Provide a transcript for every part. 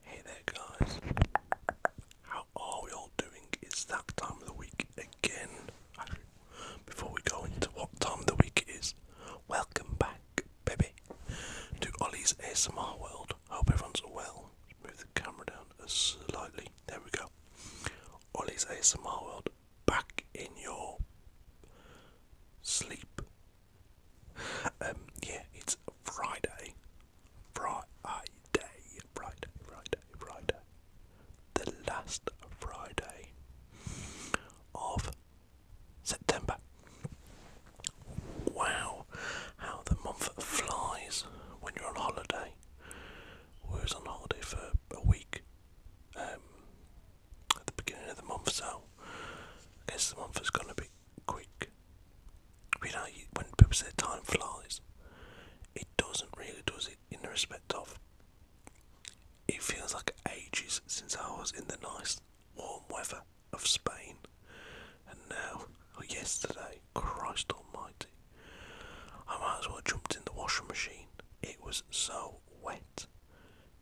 Hey there guys, how are we all doing? It's that time of the week again. Before we go into what time of the week it is, welcome back, baby, to Ollie's ASMR world. Hope everyone's well. Move the camera down slightly. There we go. Ollie's ASMR world, back in your sleep um, yeah, it's Friday, Friday, Friday, Friday, Friday, the last Friday of September. Wow, how the month flies when you're on holiday. We was on holiday for a week um, at the beginning of the month, so guess the month is going to be quick. You know, when people say time flies, it doesn't really, does it? In the respect of, it feels like ages since I was in the nice warm weather of Spain, and now, oh, yesterday, Christ Almighty, I might as well have jumped in the washing machine. It was so wet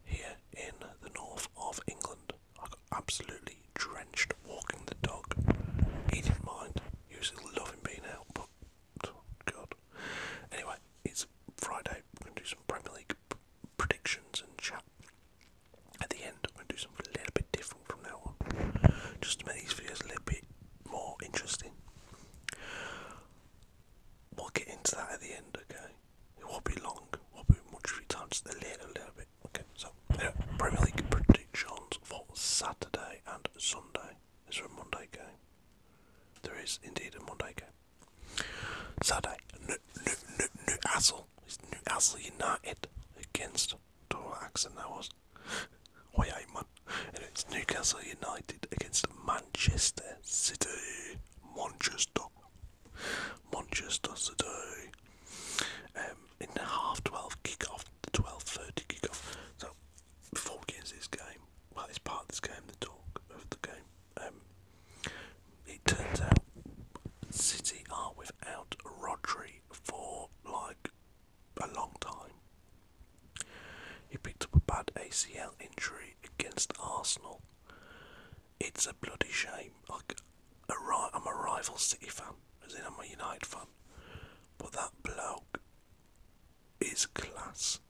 here in the north of England. I got absolutely drenched walking the dog. He didn't mind. He was loving being out, but God. Anyway, it's Friday. We're gonna do some Premier League predictions and chat. At the end, I'm gonna do something a little bit different from now on, just to make these videos a little bit more interesting. We'll get into that at the end, okay? It won't be long. It will be much free time. Just a little, little Okay, so yeah, Premier League predictions for Saturday and Sunday. Is there a Monday game? There is indeed a Monday game. Saturday, New, New, New, Newcastle. It's Newcastle United against. Don't that was. Why, oh, yeah, And it's Newcastle United against Manchester City. Manchester. Manchester City. Um, in the half 12 kickoff, the 12.30 kickoff. So, before we this game, well, it's part of this game, the talk of the game. Um, it turns out City are without Rodri for like a long time. He picked up a bad ACL injury against Arsenal. It's a bloody shame. Like, I'm a rival City fan, as in I'm a United fan, but that bloke is class.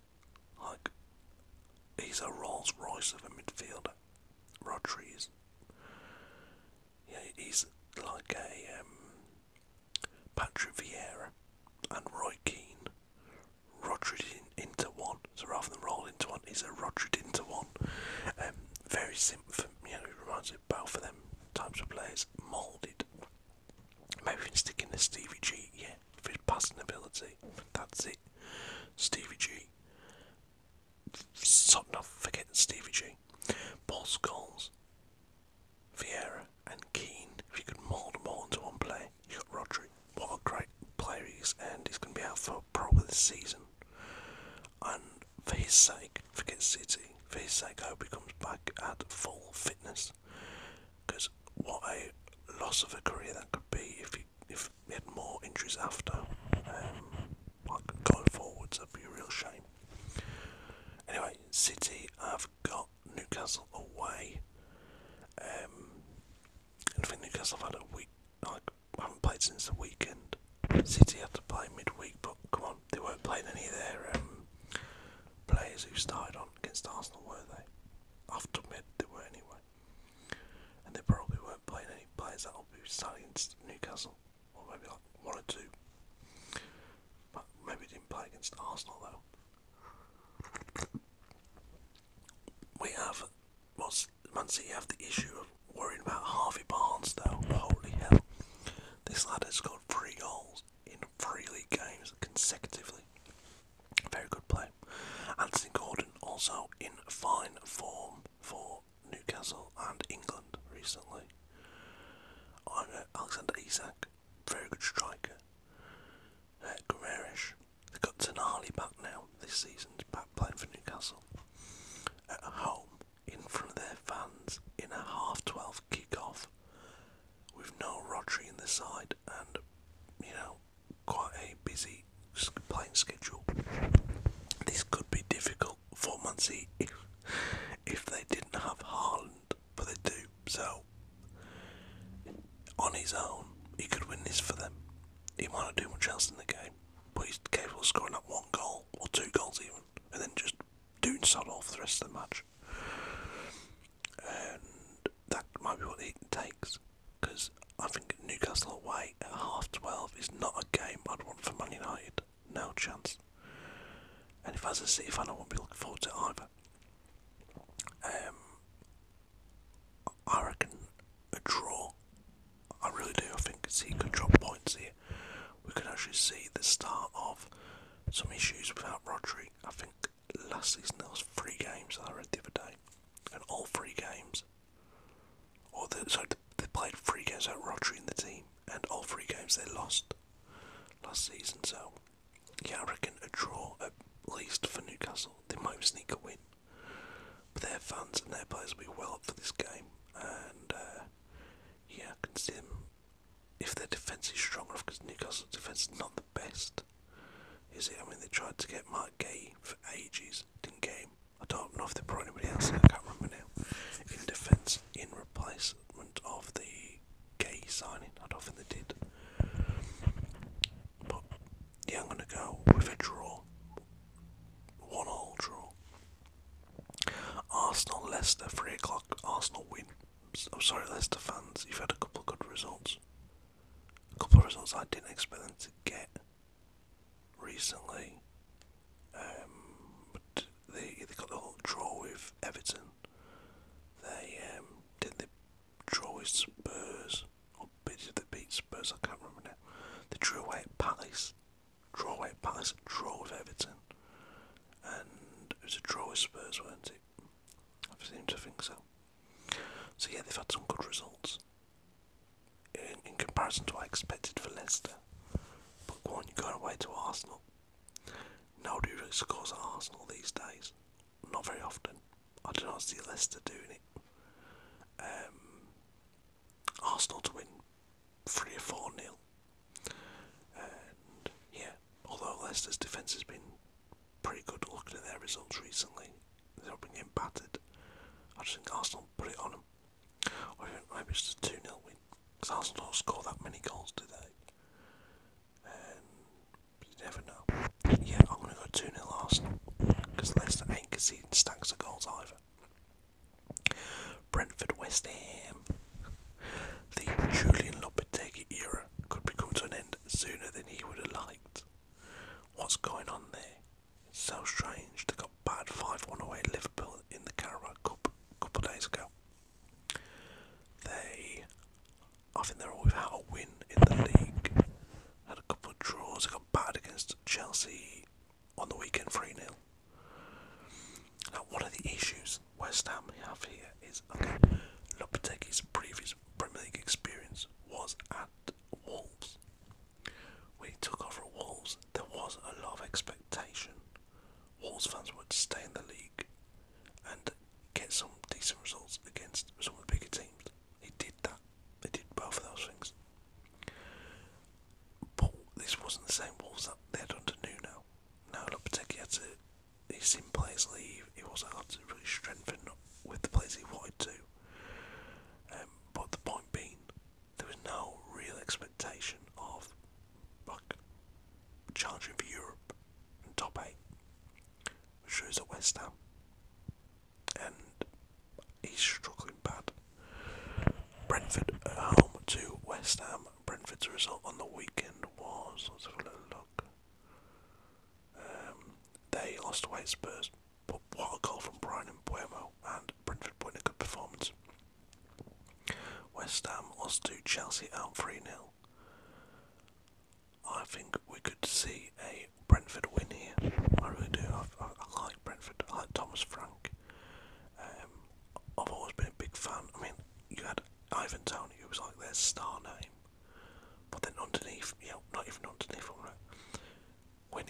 Like, he's a Rolls Royce of a midfielder. Rodri Yeah, he's like a um, Patrick Vieira and Roy Keane. Rodri into one. So rather than roll into one, he's a Rodri into one. Um, very Synth, you it reminds me of both them types of players, moulded. Maybe we can stick Stevie G, yeah, passing ability. That's it. Stevie G. So, not Stevie G. Paul Scholes, Vieira, and Keane. If you could mould them into one player, you got Rodri. What a great player he and he's going to be out for probably this season. And for his sake, for his sake, hope he comes back at full fitness. Because what a loss of a career that could be if he, if he had more injuries after, um, like going forwards, that'd be a real shame. Anyway, City have got Newcastle away. Um, and I think Newcastle have had a week. I haven't played since the weekend. City had to play midweek, but come on, they weren't playing any of their um, players who started on against Arsenal, were they? After mid, they were anyway. And they probably weren't playing any players that'll be starting against Newcastle, or maybe like one or two. But maybe didn't play against Arsenal though. We have what's Man have the issue of worrying about Harvey Barnes though. Holy hell. This lad has scored three goals in three league games consecutively. Very good play. Anthony Gordon also in fine form for Newcastle and England recently. Uh, Alexander Isak, very good striker. Uh, Guerrerish. They've got Tonali back now this season's back playing for Newcastle. At home, in front of their fans, in a half 12 kick-off, with no Rodri in the side and, you know, quite a busy playing schedule. This could be difficult for Munsey if, if they didn't have Haaland, but they do, so on his own, he could win this for them. He might not do much else in the game but he's capable of scoring up one goal or two goals even, and then just doing solid off the rest of the match. And that might be what it takes, because I think Newcastle away at half twelve is not a game I'd want for Man United. No chance. And if I was a City fan, I won't be looking forward to either. Um, I reckon a draw. I really do. I think he could drop points here. We could actually see the start of some issues without Rodri. I think last season there was three games that I read the other day, and all three games, or the, so they played three games without Rodri in the team, and all three games they lost last season. So yeah, I reckon a draw at least for Newcastle. They might sneak a win. But their fans and their players will be well up for this game, and uh, yeah, I can see them if their defence is strong enough. Because Newcastle's defence is not the best, is it? I mean, they tried to get Mike Gay for ages, didn't get I don't know if they brought anybody else. In, I can't remember now. In defence, in replacement of the Gay signing, I don't think they did. Yeah, I'm going to go with a draw. One all draw. Arsenal Leicester, 3 o'clock. Arsenal win. I'm oh, sorry, Leicester fans, you've had a couple of good results. A couple of results I didn't expect them to get recently. Um, but they, they got a whole draw with Everton. They um, did the draw with Spurs or bits the beat Spurs, I can't remember now. They drew away at Palace, draw away at Palace, draw with Everton, and it was a draw with Spurs, weren't it? I seem to think so. So yeah, they've had some good results in, comparison to what I expected for Leicester. But why one, you're going away to Arsenal. Nobody really scores at Arsenal these days. Not very often. I do not see Leicester doing it. Um, Arsenal to win three or four nil. And yeah, although Leicester's defence has been pretty good looking at their results recently, they've been getting battered. I just think Arsenal put it on them. Or even maybe it's a 2 0 win. Because Arsenal don't score that many goals, do they? And you never know. Yeah, I'm going to go 2 0 Arsenal. Because Leicester ain't see conceded stacks of goals either. Brentford West Ham. The Julian Lopetegui era could be coming to an end sooner than he would have liked. What's going on there? It's so strange. They got bad 5 1 away Liverpool in the Carabao Cup a couple of days ago. They, I think they're all without a win in the league. Had a couple of draws, out against Chelsea on the weekend 3 nil. Now, one of the issues West Ham have here is okay, Lopetegui's previous Premier League experience was at Wolves. When he took over Wolves, there was a lot of expectation. Wolves fans would stay in the league and get some decent results against some of the bigger teams. He did that. He did both of those things. But this wasn't the same Wolves that they had under Nuno. Now Lopetegui had to, he's seen players leave, It wasn't able to really strengthen with the players he wanted to. Um, but the point being, there was no real expectation of like, challenging for Europe and top 8, which shows at West Ham and he's struggling bad. Brentford at home to West Ham. Brentford's result on the weekend was let's have a little look. Um, they lost away at Spurs, but what a goal from Brian and Buemo and Brentford put in a good performance. West Ham lost to Chelsea out 3 0. I think we could see a Brentford win here. I really do. i I, like Brentford. I like Thomas Frank. Um, I've always been a big fan. I mean, you had Ivan Tony, who was like their star name, but then underneath, you not even underneath, when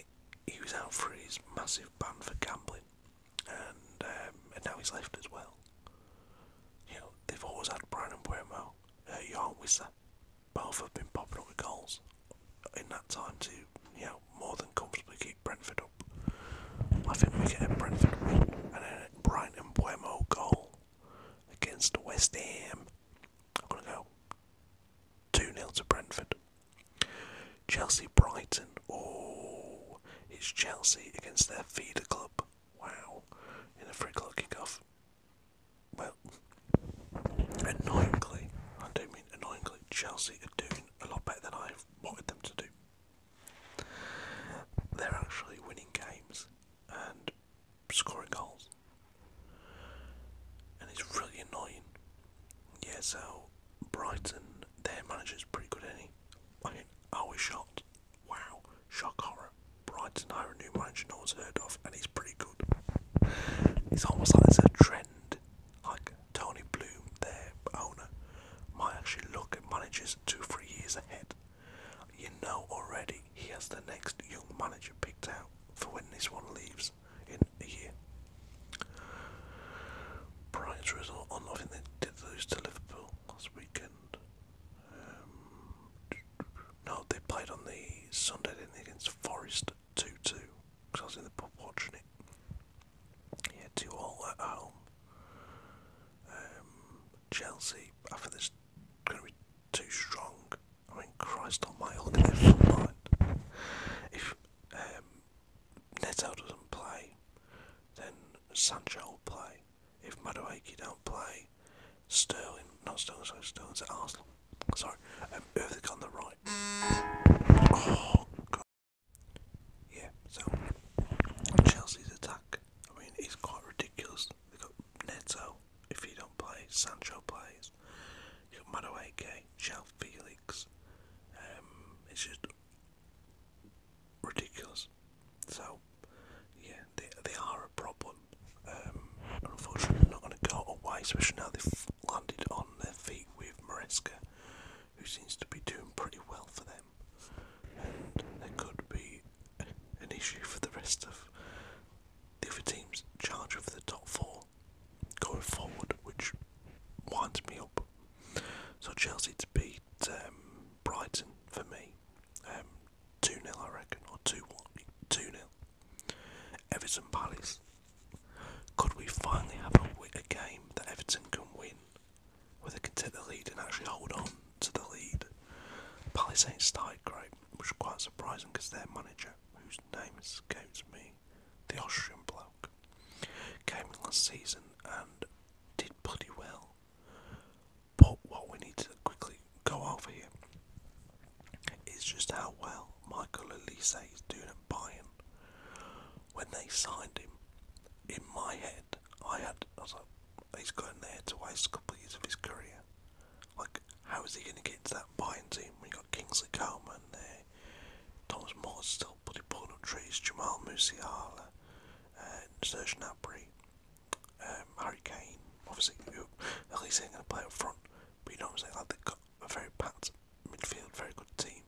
he was out for his massive ban for gambling, and um, and now he's left as well. You know, they've always had Brian and Buemo, uh, Johan Wisser, both have been popping up with goals in that time to you know more than comfortably keep Brentford up. I think we get a Brentford win and then a Brighton Buemo goal against West Ham. I'm gonna go 2 0 to Brentford. Chelsea Brighton. Oh, it's Chelsea against their feeder club. Wow, in a free clock kickoff well, annoyingly, I do mean annoyingly, Chelsea are doing a lot better than I wanted them to do. They're actually winning games and scoring goals. And it's really annoying. Yeah, so Brighton, their is pretty good, is I mean, I was shocked. Wow, shock horror. Brighton hire a new manager no one's heard of, and he's pretty good. It's almost like there's a trend. Like Tony Bloom, their owner, might actually look at managers two, three years ahead. You know already he has the next young manager picked out for when this one leaves in a year. Brighton's result on I think they did lose to Liverpool last weekend. Um, no, they played on the Sunday against Forest two two because I was in the pub watching it. Yeah, two all at home. Um, Chelsea, I think this going to be too strong. I mean, Christ on my at their front If um, Neto doesn't play, then Sancho will play. If Madueke don't play, Sterling, not Sterling, sorry, Sterling's at Arsenal. Sorry, um, Ervik on the right. Oh, God. Yeah, so Chelsea's attack, I mean, it's quite ridiculous. They've got Neto, if he don't play, Sancho plays. You've got Madueke, Shell Felix. Um, it's just ridiculous. So, yeah, they, they are a problem. Um, unfortunately not going to go away, especially now they've landed on their feet with Maresca, who seems to be doing pretty well for them. And there could be an issue for the rest of the other teams charge of the top four going forward, which winds me up. So Chelsea to beat um, Brighton for me, um, 2 0, I reckon, or 2 1, Everton Palace. Could we finally have a, a game that Everton can win, where they can take the lead and actually hold on to the lead? Palace ain't started great, which is quite surprising because their manager, whose name escapes me, the Austrian bloke, came in last season and did pretty well. But what we need to quickly go over you. It's just how well Michael Elise is doing at Bayern. When they signed him, in my head, I had, I was like, he's going there to waste a couple years of his career. Like, how is he going to get to that Bayern team We you got Kingsley Coleman there, Thomas Moore's still bloody pulling up trees, Jamal Musiala, uh, Serge Gnabry, um, Harry Kane, obviously, who, at going to play up front. But you know what I'm saying? Like they've got a very packed midfield, very good team.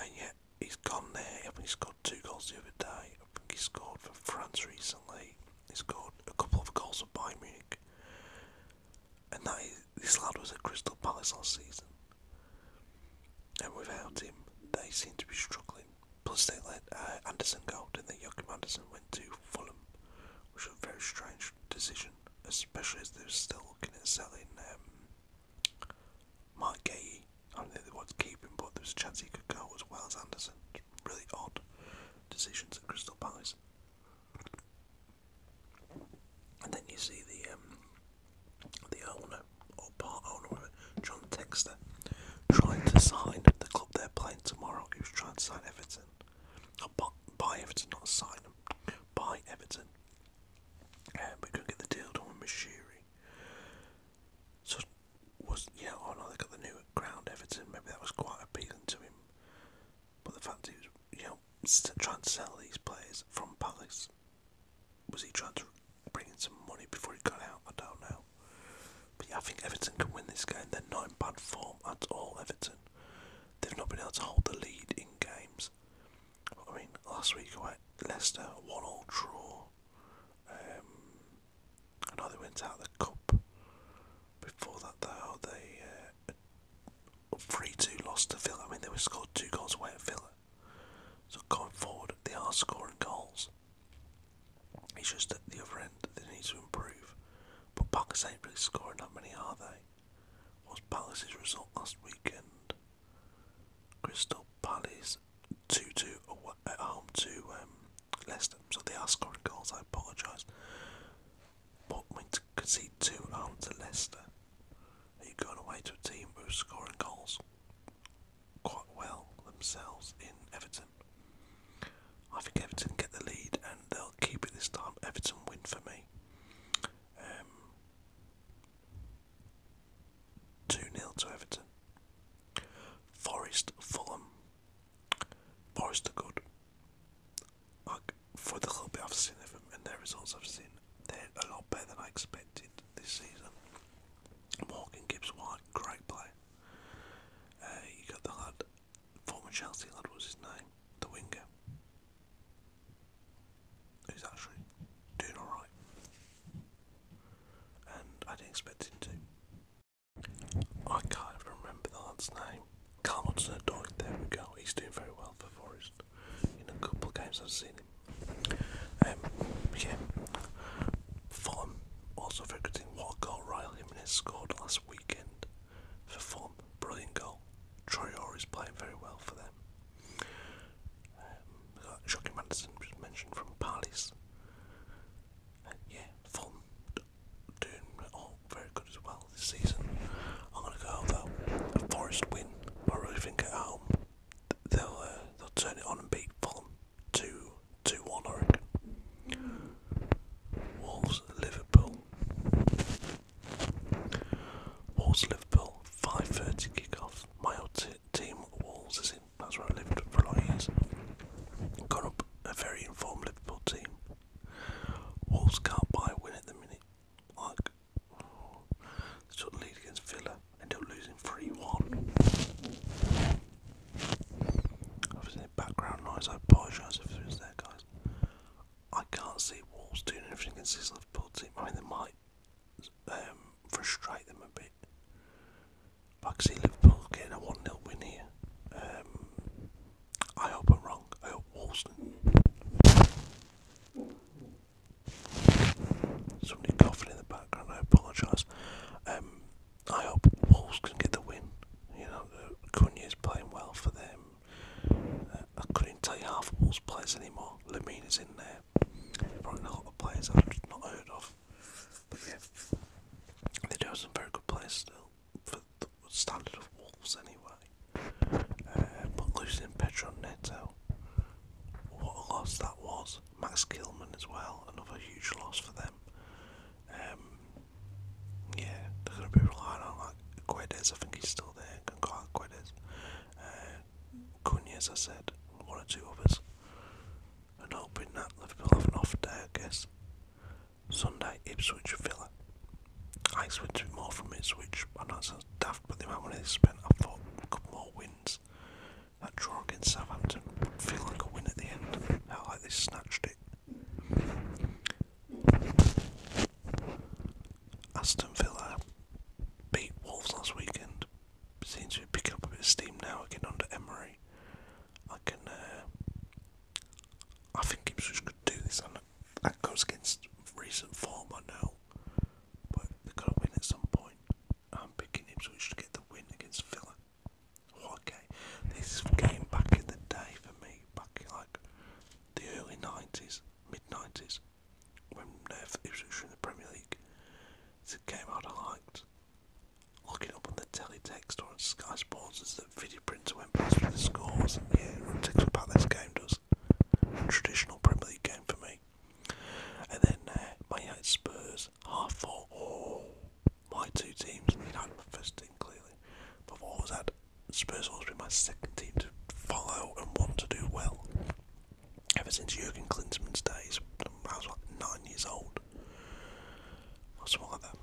And yet he's gone there. I think he scored two goals the other day. I think he scored for France recently. He scored a couple of goals for Bayern Munich. And that is, this lad was at Crystal Palace last season. And without him, they seem to be struggling. Plus, they let uh, Anderson go, and then they? Anderson went to Fulham which was a very strange decision, especially as they are still looking at selling um, Mark Gay. I am not think they wanted to him, but there's a chance he could go as well as Anderson. Really odd decisions at Crystal Palace. And then you see the um, the owner or part owner, John Texter, trying to sign the club they're playing tomorrow. He was trying to sign Everton, not by, Everton, not sign him. By Everton. Um, could get the deal done with Mashiri. So, was, yeah, oh no, they got the new ground Everton, maybe that was quite appealing to him. But the fact he was, you know, trying to sell these players from Palace, was he trying to bring in some money before he got out? I don't know yeah, I think Everton can win this game. They're not in bad form at all, Everton. They've not been able to hold the lead in games. I mean, last week away at Leicester, one all draw. Um, I know they went out of the cup. Before that, though, they uh, 3 2 lost to Villa. I mean, they were scored two goals away at Villa. So going forward, they are scoring goals. It's just at the other end that they need to improve. But Palace ain't really scoring that many, are they? What's Palace's result last weekend? Crystal Palace 2-2 at home to um, Leicester. So they are scoring goals, I apologise. But when to concede 2 at home to Leicester, are you going away to a team who's scoring goals quite well themselves in Everton? I think Everton get the lead and they'll keep it this time. Everton win for me. Um, 2 um, to Everton. Forest, Fulham. Forest are good. for the little bit I've seen of them and their results I've seen, they're a lot better than I expected this season. Morgan Gibbs White, great player. Uh, you got the lad former Chelsea lad was his name, the winger, who's actually doing alright. And I didn't expect him to. I can't even remember the lad's name. Carl a dog. there we go, he's doing very well for Forest. In a couple of games I've seen him. Um, yeah, Fulham also very good thing. What goal Ryle Jimenez scored last week weekend for fun. Brilliant goal. Troyor is playing very well for them. Shocking Madison was mentioned from Paris. yeah, fun. Doing all very good as well this season. I'm going to go though. A Forest win. I really think at home they'll uh, they'll turn it on and beat Fulham 2 2 1, I reckon. Wolves Liverpool. Wolves Liverpool, 5.30 kick My old team, Wolves, is in. That's where I lived for a lot of years. Got up a very informed Liverpool team. Wolves can't buy a win at the minute. Like, took the lead against Villa, ended up losing 3 1. Obviously, background noise, I apologise if there is there, guys. I can't see Wolves doing anything against Liverpool I mean, they might um, frustrate them a bit. I can see Liverpool getting a 1 0 win here. Um, I hope I'm wrong. I hope Wolves. Somebody coughing in the background, I apologise. Um, I hope Wolves can get the win. You know, is playing well for them. Uh, I couldn't tell you half of Wolves players anymore. is in there. Probably a lot of players I've not heard of. But yeah, they do have some very good players still for the standard of Wolves anyway. Uh, but losing Pedro Neto, what a loss that was. Max Kilman as well, another huge loss for them. Um, yeah, they're going to be relying like Guedes. I think he's still there. Can call out Guedes. Uh, I said, one or two others. And hoping that Liverpool have an off day, I guess. Sunday, Ipswich Villa. I expect to more from Ipswich. I know it sounds daft, but the amount of money they spent, I thought, a couple more wins. That draw against Southampton would feel like a win at the end. How like they snatched it Aston Villa beat Wolves last weekend. Seems to be picking up a bit of steam now again under Emery. I can, uh, I think Ipswich could do this. And that goes against recent form, I know, but they are going to win at some point. I'm picking Ipswich to get the win against Villa. What This game back in the day for me, back in like the early 90s, mid 90s, when it was actually in the Premier League. It's a game I'd liked. Looking up on the teletext or on Sky Sports as the video printer went past with the scores. And yeah, it takes about this game does. Traditional Premier League game for me. And then uh, my United Spurs, half four. Oh my two teams. United my first team clearly, but I've always had Spurs always been my second team to follow and want to do well. Ever since Jurgen Klinsmann's days, I was like nine years old or something like that.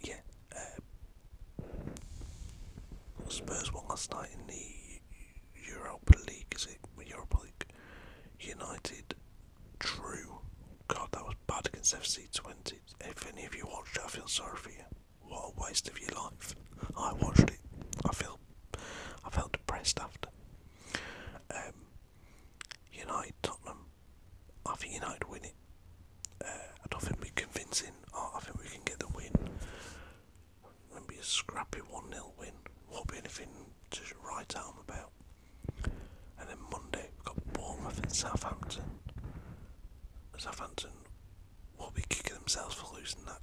Yeah, uh, Spurs won last night in the Europa League. Is it Europa League? United True. God, that was bad against FC 20. If any of you watched it, I feel sorry for you. What a waste of your life. I watched it. I feel, I felt depressed after. Um, United, Tottenham. I United win uh, I don't think we're convincing. Oh, I think we can get the win. Won't be a scrappy 1 nil win. Won't be anything to write home about. And then Monday we've got Bournemouth and Southampton. Southampton will be kicking themselves for losing that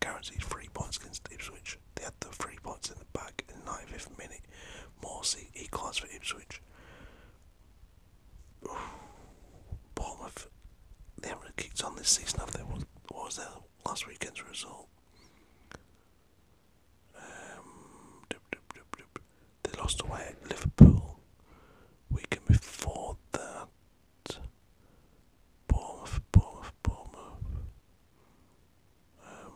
guaranteed three points against Ipswich. They had the three points in the bag in the 95th minute. Morsey cards for Ipswich. Ooh, Bournemouth, they haven't kicked on this season, have What was their last weekend's result? Um, they lost away at Liverpool. Weekend before that, Bournemouth, Bournemouth, Bournemouth. Um,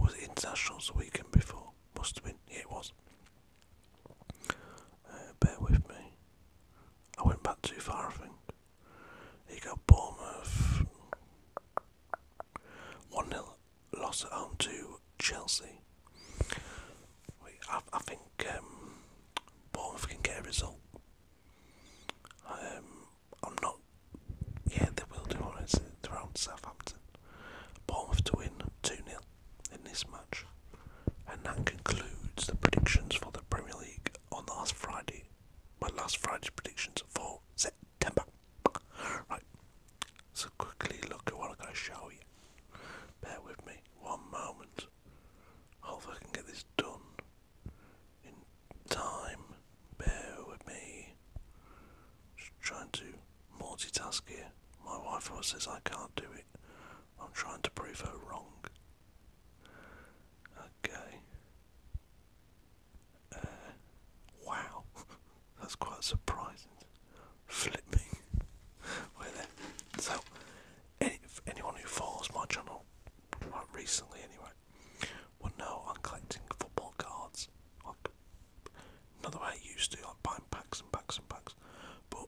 was it internationals the weekend before? Must have it was. Uh, bear with me. I went back too far, I think. You got Bournemouth. 1 0 loss at home to Chelsea. We, I, I think um, Bournemouth can get a result. Um, I'm not. Yeah, they will do on it. They're on Southampton. Bournemouth to win 2 0 in this match. And that concludes the predictions for the Premier League on last Friday. My last Friday's predictions for September. September. Right, so quickly look at what I'm going to show you. Bear with me one moment. Hopefully, I can get this done in time. Bear with me. Just trying to multitask here. My wife always says I can't do it. I'm trying to prove her wrong. Okay. Uh, wow, that's quite surprising. Flipping. Where then? So, any, anyone who follows my channel, quite recently anyway, will know I'm collecting football cards. Like, not the way I used to, like buying packs and packs and packs, but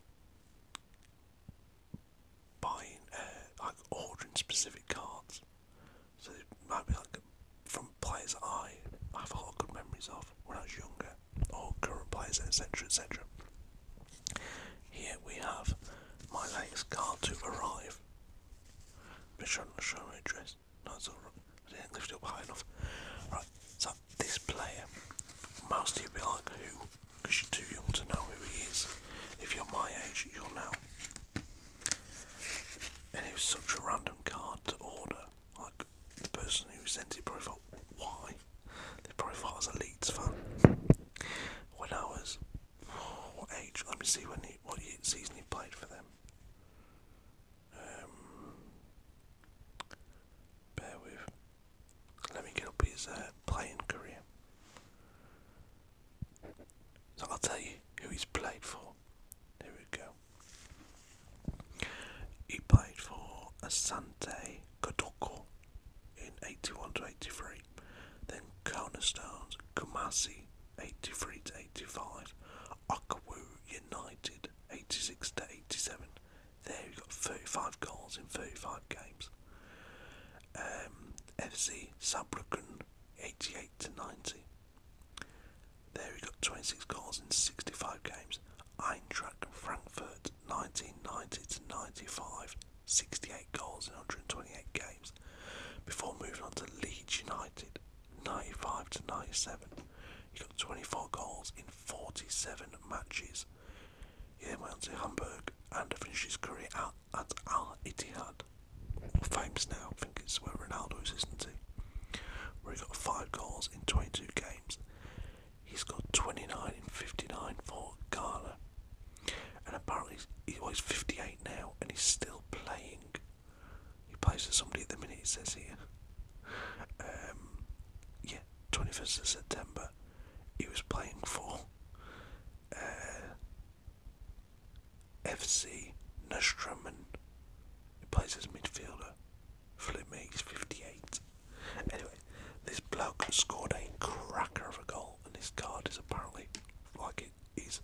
buying, uh, like ordering specific cards. So it might be like from players that I have a lot of good memories of when I was younger, or current players, etc. etc. Here we have my latest card to arrive. Make sure I'm not showing my address. No, it's alright. I didn't lift enough. Right, so this player, most of you will be like, who? Because you're too young to know who he is. If you're my age, you'll know. And it was such a random card to order. Like, the person who sent it probably thought, why? They probably thought I was a Leeds When was, what age? Let me see when he, what season he played for them. Um, bear with. Let me get up his uh, playing career. So I'll tell you who he's played for. Here we go. He played for Asante Kotoko in 81 to 83, then Cornerstones Kumasi 83 to 85, Okawu United 86 to 87. There he got 35 goals in 35 games. Um, FC Sabrakan 88 to 90, there he got 26 goals in 65 games. Eintracht Frankfurt 1990 to 95, 68 goals in 128 games. Before moving on to Leeds United 95 to 97, he got 24 goals in 47 matches. He then went on to Hamburg and finished his career at, at Al Ittihad famous now. I think it's where Ronaldo is, isn't he? Where he got five goals in 22 games. He's got 29 in 59 for Ghana, and apparently he's, 58 now, and he's still playing. He plays for somebody at the minute. It says here. Um, yeah, 21st of September. He was playing for. Uh, FC Nostrumman, He plays as midfielder. Flume, he's 58. Anyway, this bloke scored a cracker of a goal, and his card is apparently like it is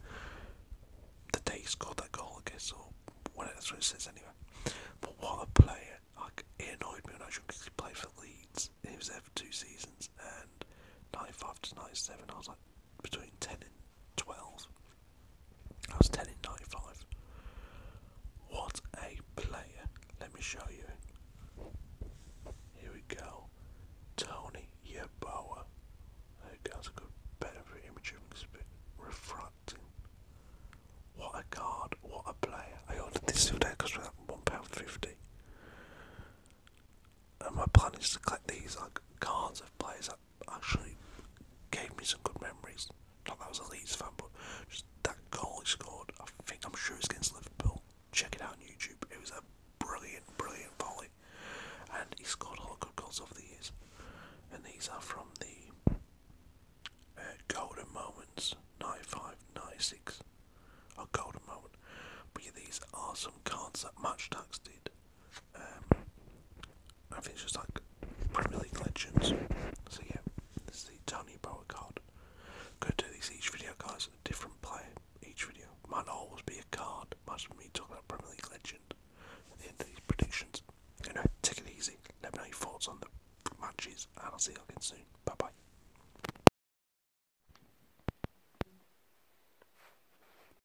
the day he scored that goal, I guess, or whatever that's what it says anyway. But what a player! Like, he annoyed me when I was young because he played for Leeds. He was there for two seasons, and 95 to 97, I was like, between 10 and 12. I was 10 in 95. What a player. Let me show you. Here we go. Tony Yaboa. There you go. It's a good, better image because it's a bit refracting. What a card. What a player. I ordered this today because for £1.50. And my plan is to collect these like cards of players actually gave me some good memories. Not that was a Leeds fan, but that goal he scored, I think I'm sure it's against Liverpool. Check it out on YouTube. It was a brilliant, brilliant volley. And he scored a lot of good goals over the years. And these are from the uh, Golden Moments 95 96. A Golden Moment. But yeah, these are some cards that Match Tax did. Um, I think it's just like Premier League legends. So yeah, this is the Tony Bower card. Going to do these each video cards, a different player each video. Might not always be a card, might just be me talking about Premier League legend at the end of these predictions. You know, take it easy. Let me know your thoughts on the matches, I'll see you again soon. Bye bye.